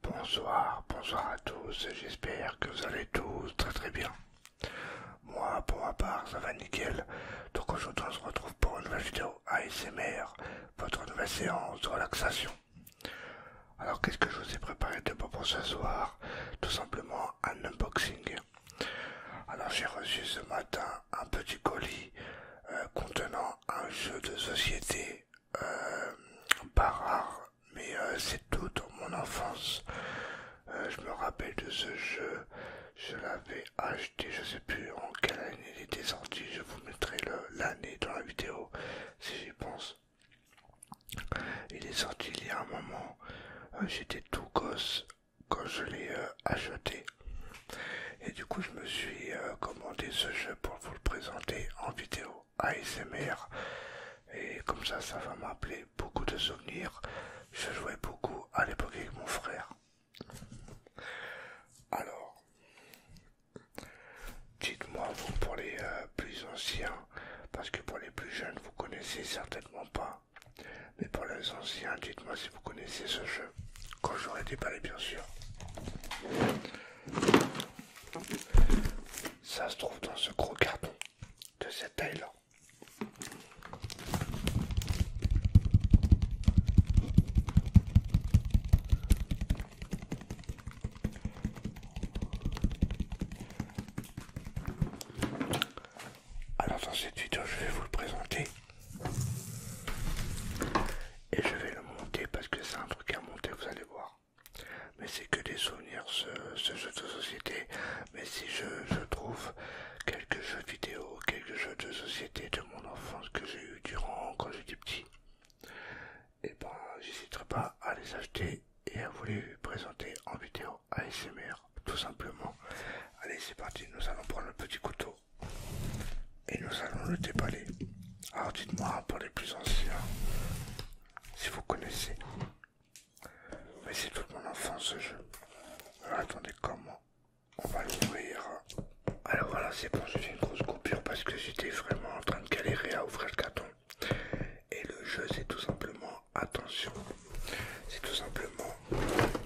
Bonsoir, bonsoir à tous, j'espère que vous allez tous très très bien. Moi pour ma part ça va nickel, donc aujourd'hui on se retrouve pour une nouvelle vidéo ASMR, votre nouvelle séance de relaxation. Alors qu'est-ce que je vous ai préparé de bon pour ce soir Tout simplement un unboxing. Alors j'ai reçu ce matin un petit colis euh, contenant un jeu de société euh, pas rare, mais euh, c'est tout dans mon enfance. Euh, je me rappelle de ce jeu, je l'avais acheté, je sais plus en quelle année il était sorti, je vous mettrai l'année dans la vidéo si j'y pense. Il est sorti il y a un moment, j'étais tout gosse quand je l'ai acheté. Et du coup je me suis commandé ce jeu pour présenter en vidéo ASMR. Et comme ça, ça va m'appeler beaucoup de souvenirs. Je jouais beaucoup à l'époque avec mon frère. Alors, dites-moi vous pour les euh, plus anciens, parce que pour les plus jeunes, vous connaissez certainement pas. Mais pour les anciens, dites-moi si vous connaissez ce jeu. Quand j'aurai déballé, bien sûr. Ça se trouve dans ce gros carton de cette taille-là. Alors dans cette vidéo, je vais vous le présenter et je vais le monter parce que c'est un truc à monter, vous allez voir. Mais c'est que des souvenirs, ce, jeu de société. Mais si je, trouve quelques jeux vidéo, quelques jeux de société de mon enfance que j'ai eu durant quand j'étais petit, et eh ben j'hésiterai pas à les acheter et à vous les présenter en vidéo à ASMR, tout simplement. Allez, c'est parti, nous allons prendre le petit couteau et nous allons le déballer. Alors dites-moi pour les plus anciens, si vous connaissez. Mais c'est toute mon enfance ce jeu. Euh, attendez comment on va l'ouvrir. Alors voilà, c'est bon, j'ai fait une grosse coupure parce que j'étais vraiment en train de galérer à ouvrir le carton. Et le jeu, c'est tout simplement, attention, c'est tout simplement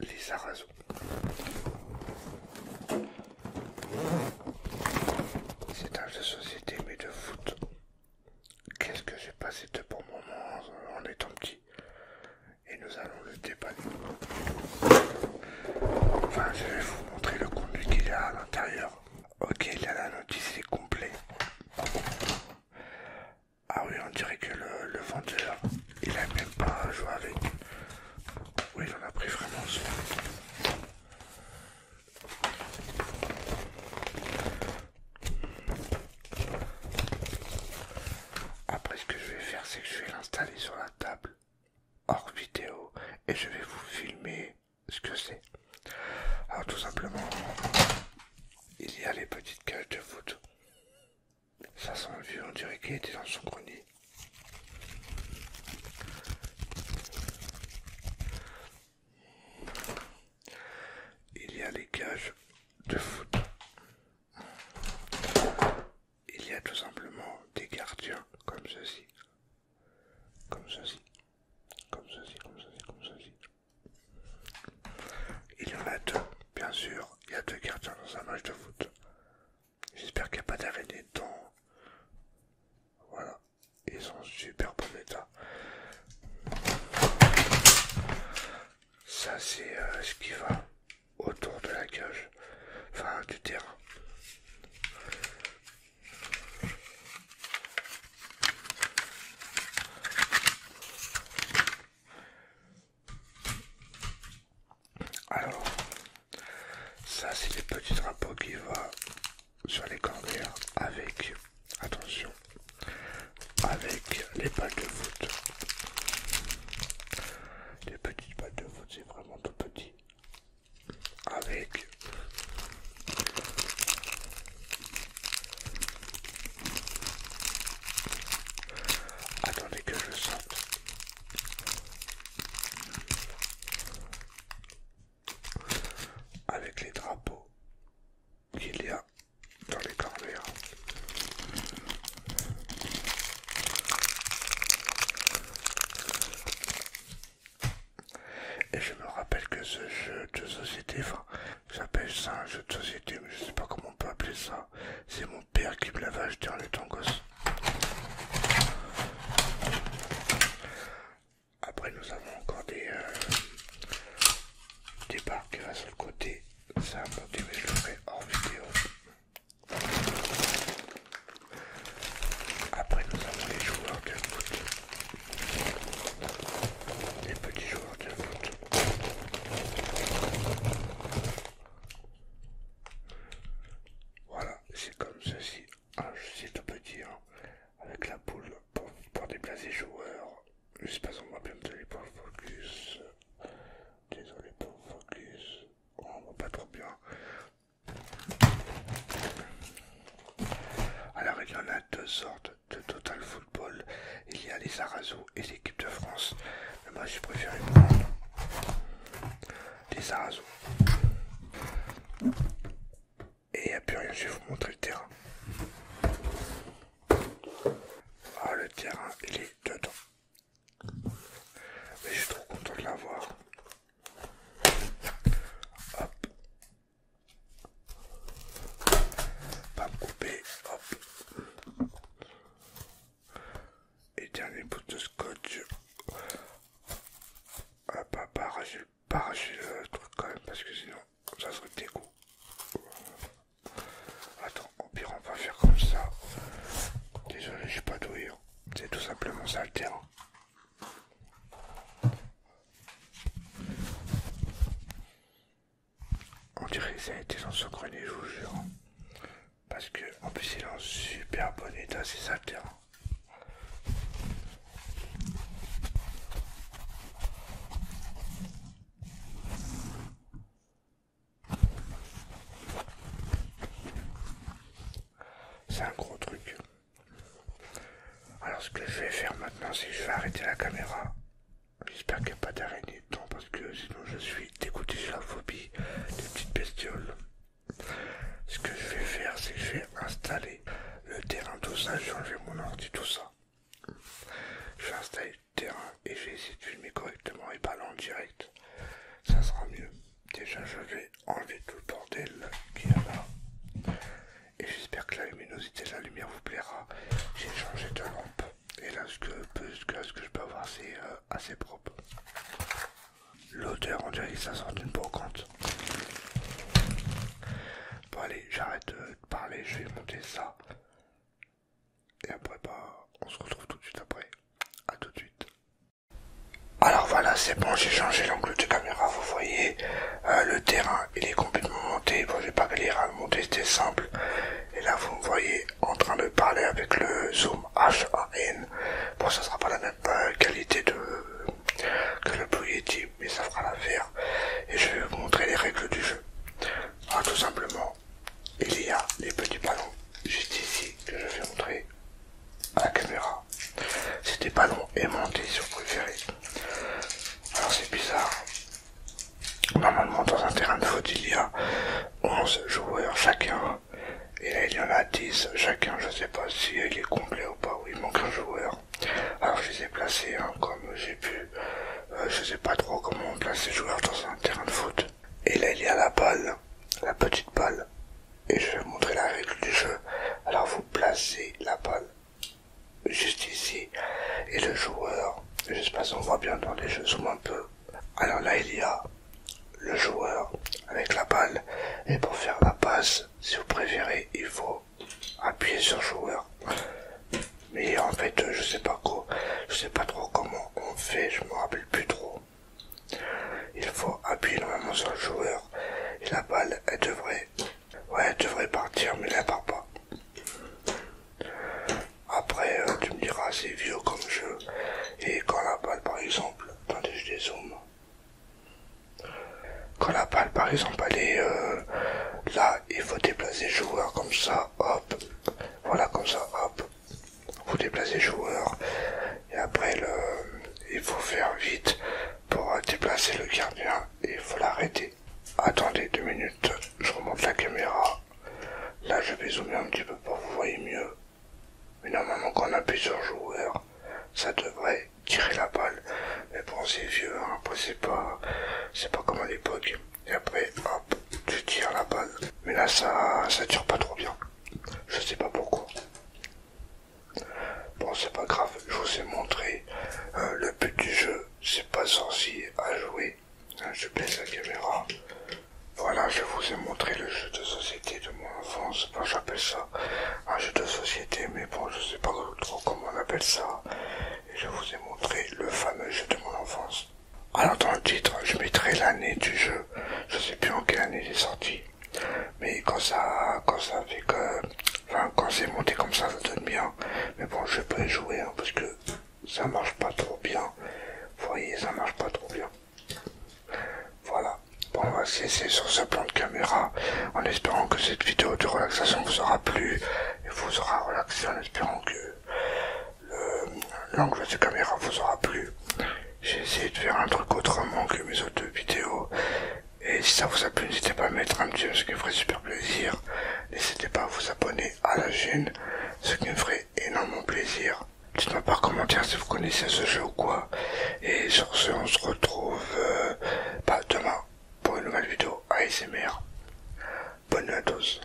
les sarrasins. C'est un jeu de société mais de foot. Qu'est-ce que j'ai passé de bon moment en étant petit Et nous allons le déballer. Enfin, je vais vous montrer le contenu qu'il y a à l'intérieur. Ok, là la notice est complète, ah oui, on dirait que le, vendeur, il aime même pas jouer avec. Oui, il en a pris vraiment soin. Après, ce que je vais faire, c'est que je vais l'installer sur la table hors vidéo et je vais vous filmer ce que c'est. Alors, tout simplement, il y a les petites cages de foot. Ça semble vieux, on dirait qu'il était dans son grenier. Il y a les cages de foot. Il y a tout simplement des gardiens comme ceci. Comme ceci. Comme ceci, comme ceci, comme ceci. Il y en a deux, bien sûr. Il y a deux gardiens dans un match de foot. J'espère qu'il n'y a pas d'araignée dedans. Voilà. Ils sont en super bon état. Ça, c'est euh, ce qui va autour de la cage. Enfin, du terrain. Alors, ça c'est les petits drapeaux qui vont sur les cordes avec, attention, avec les balles de foot. Les petites balles de foot, c'est vraiment tout petit. Avec Attendez que je sorte. Avec les drapeaux qu'il y a dans les corvées. Et je me rappelle que ce jeu de société, J'appelle ça un jeu de société, mais je sais pas comment on peut appeler ça. C'est mon père qui me l'avait acheté en étant Après, nous avons encore des, euh, des barres qui restent sur le côté. C'est un monté, mais je le ferai hors vidéo. Après, nous avons les joueurs de les petits joueurs qui Voilà, c'est comme ceci. Ah, c'est tout petit, hein. avec la poule pour, déplacer joueurs. Je sais pas si on voit bien me focus. Désolé pour le focus. Oh, on voit pas trop bien. Alors il y en a deux sortes de Total Football, il y a les arazo et l'équipe de France. Mais moi, j'ai préféré prendre les arazo Et il a plus rien, je vais vous montrer le terrain. Ah, le terrain, il est dedans. Mais je suis trop content de l'avoir. Pas me couper, hop. Et dernier bout de scotch. Ah, bah pas arracher, le euh, truc quand même, parce que sinon ça serait dégoût Attends, au pire, on va faire comme ça. Désolé, je suis pas doué. Hein. C'est tout simplement ça le terrain. On dirait que ça a été grenier, je vous jure. Parce que, en plus, il est en super bon état, c'est ça le C'est un gros truc. Alors ce que je vais faire maintenant, c'est que je vais arrêter la caméra. J'espère qu'il n'y a pas d'araignée dedans parce que sinon je suis dégoûté, sur la phobie des petites bestioles. Ce que je vais faire, c'est que je vais installer le terrain, tout ça, vais enlever mon ordi, tout ça. Je vais installer le terrain et je vais essayer de filmer correctement et pas en direct. Ça sera mieux. Déjà, je vais enlever tout le bordel qu'il y a là et j'espère que la luminosité de la lumière vous plaira. J'ai changé de lampe et là ce que, ce que, je peux avoir c'est euh, assez propre. L'odeur on dirait que ça sent d'une brocante. Bon allez j'arrête de parler, je vais monter ça. Et après bah on se retrouve tout de suite après. à tout de suite. Alors voilà, c'est bon, j'ai changé l'angle de caméra, vous voyez, euh, le terrain, il est complètement monté, bon, vais pas venir à monter, c'était simple. Et là, vous me voyez en train de parler avec le zoom h n Bon, ça sera pas la même euh, qualité de que le Blue Yeti, mais ça fera l'affaire. Et je vais vous montrer les règles du jeu. Ah, tout simplement, il y a les petits ballons juste ici que je vais montrer à la caméra. C'était pas long, aimanté sur préféré. Alors c'est bizarre. Normalement dans un terrain de foot il y a 11 joueurs chacun. Et là il y en a 10 chacun, je sais pas si il est complet ou pas, oui il manque un joueur. Alors je les ai placés comme j'ai pu. Euh, je sais pas trop comment on place les joueurs dans un terrain de foot. Et là il y a la balle, la petite balle et je vais vous montrer la règle du jeu. Alors vous placez la balle juste ici et le joueur, je sais pas si on voit bien dans les jeux, zoom un peu. Alors là il y a le joueur avec la balle et pour faire la passe, si vous préférez, il faut appuyer sur joueur. Mais en fait, je sais pas quoi, je sais pas trop comment on fait, je me rappelle plus trop. Il faut appuyer normalement sur le joueur et la balle, elle devrait, ouais, devrait partir, mais elle part pas. Après, euh, tu me diras, c'est vieux comme jeu. Et quand la balle, par exemple, attendez, je dézoome. Quand la balle, par exemple, elle est euh, là, il faut déplacer le joueur comme ça, hop. Voilà, comme ça, hop vous déplacez joueur et après le, il faut faire vite pour déplacer le gardien et il faut l'arrêter. Attendez deux minutes, je remonte la caméra. Là je vais zoomer un petit peu pour que vous voyez mieux. Mais normalement quand on a plusieurs joueurs, ça devrait tirer la balle. Mais bon c'est vieux, hein. après c'est pas c'est pas comme à l'époque. Et après hop, tu tires la balle. Mais là ça ça tire pas trop bien. Je sais pas pourquoi. Bon, c'est pas grave, je vous ai montré euh, le but du jeu, c'est pas sorcier à jouer. Hein, je baisse la caméra. Voilà, je vous ai montré le jeu de société de mon enfance. Enfin, j'appelle ça un jeu de société, mais bon, je sais pas trop comment on appelle ça. Et je vous ai montré le fameux jeu de mon enfance. Alors dans le titre, je mettrai l'année du jeu. Je sais plus en quelle année il est sorti. Mais quand ça, quand ça fait que, quand c'est monté comme ça, ça donne bien. Mais bon, je vais pas y jouer, hein, parce que ça marche pas trop bien. Vous voyez, ça marche pas trop bien. Voilà. Bon, on va se sur ce plan de caméra, en espérant que cette vidéo de relaxation vous aura plu, et vous aura relaxé, en espérant que, l'angle de caméra vous aura plu. J'ai essayé de faire un truc autrement que mes autres vidéos. Et si ça vous a plu, n'hésitez pas à mettre un petit ce qui me ferait super plaisir. N'hésitez pas à vous abonner à la chaîne, ce qui me ferait énormément plaisir. Dites-moi par commentaire si vous connaissez ce jeu ou quoi. Et sur ce, on se retrouve pas euh, bah, demain pour une nouvelle vidéo ASMR. Bonne nuit à tous.